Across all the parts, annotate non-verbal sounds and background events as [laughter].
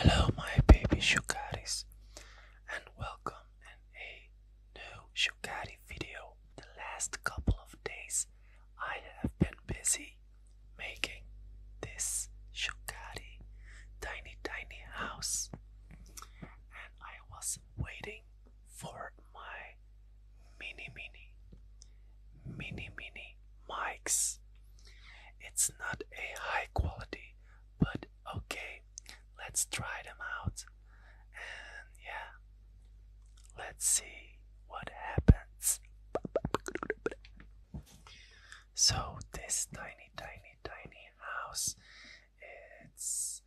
Hello, my baby Shukaris, and welcome to a new Shukari video. The last couple of days, I have been busy making this Shukari tiny, tiny house, and I was waiting for my mini mini mini mini mics. It's not a high quality, but okay, let's try them out. And yeah, let's see what happens. So, this tiny, tiny, tiny house it's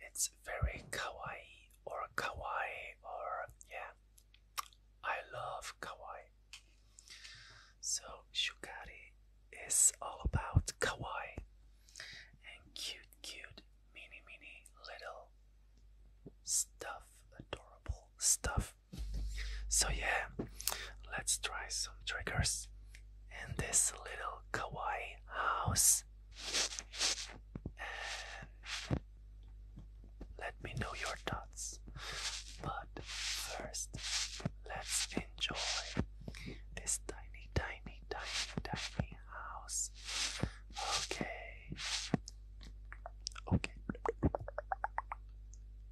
it's very kawaii or kawaii or yeah. I love kawaii. So shukari is all about kawaii and cute, cute, mini, mini, little stuff, adorable stuff. So yeah, let's try some triggers in this little kawaii house. [sighs] let me know your thoughts. But first, let's enjoy this tiny, tiny, tiny, tiny house. Okay. Okay.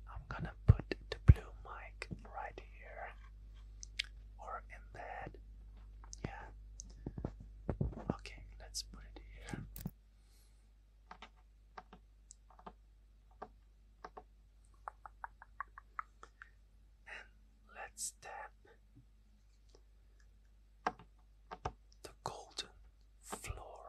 I'm gonna put the blue mic right here in Yeah. Okay, let's put it here. And let's tap the golden floor.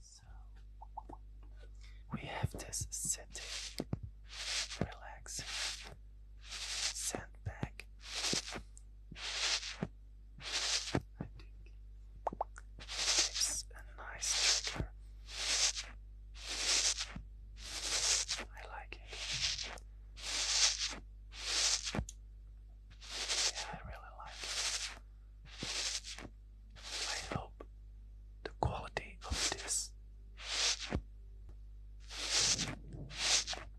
So we have this sitting, Relax sandbag. I think it's a nice trigger. I like it. Yeah, I really like it. I hope the quality of this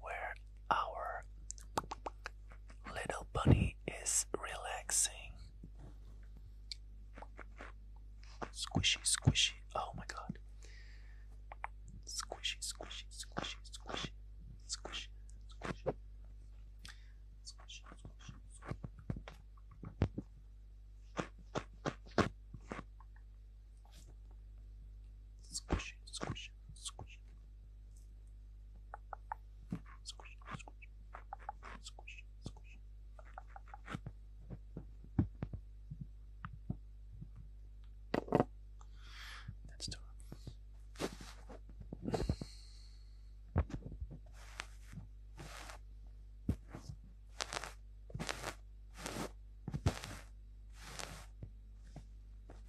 where our little bunny is relaxing. Squishy, squishy. Oh my god. Squishy, squishy, squishy, squishy, squishy, squishy. Squishy, squishy, squishy. Squish, squish, squish. Squish, squish, squish, squish. That's tough.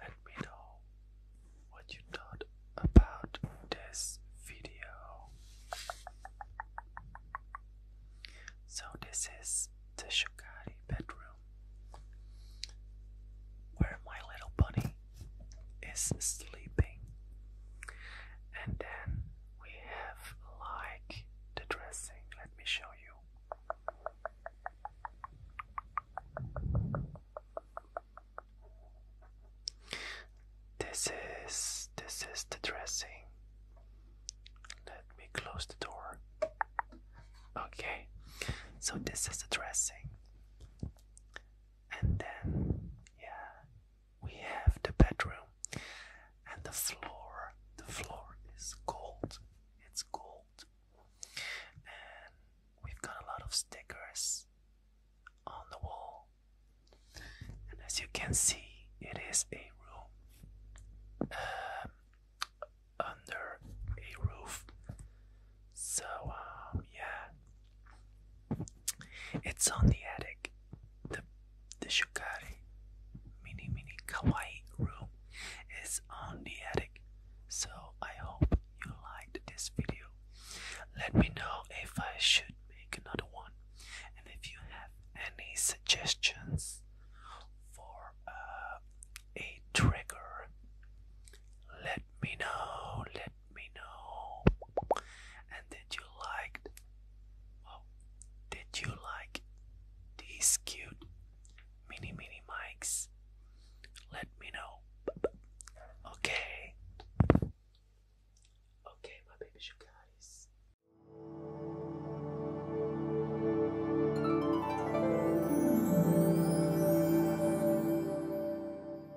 Let me know what you thought about this video. So, this is the Shogari bedroom where my little bunny is sleeping, and then we have like the dressing. Let me show you. This is this is the dressing. Let me close the door. Okay. So this is the dressing. And then yeah, we have the bedroom and the floor the floor is gold it's gold and we've got a lot of stickers on the wall and as you can see it is a room um, under a roof so um yeah it's on the attic. The the Shukari mini mini kawaii room is on the attic. So I hope you liked this video. Let me know if I should make another one and if you have any suggestions for uh, a trigger. Let me know. Let let me know. And did you like oh, did you like these cute mini mini mics? Let me know. Okay. Okay, my babies, you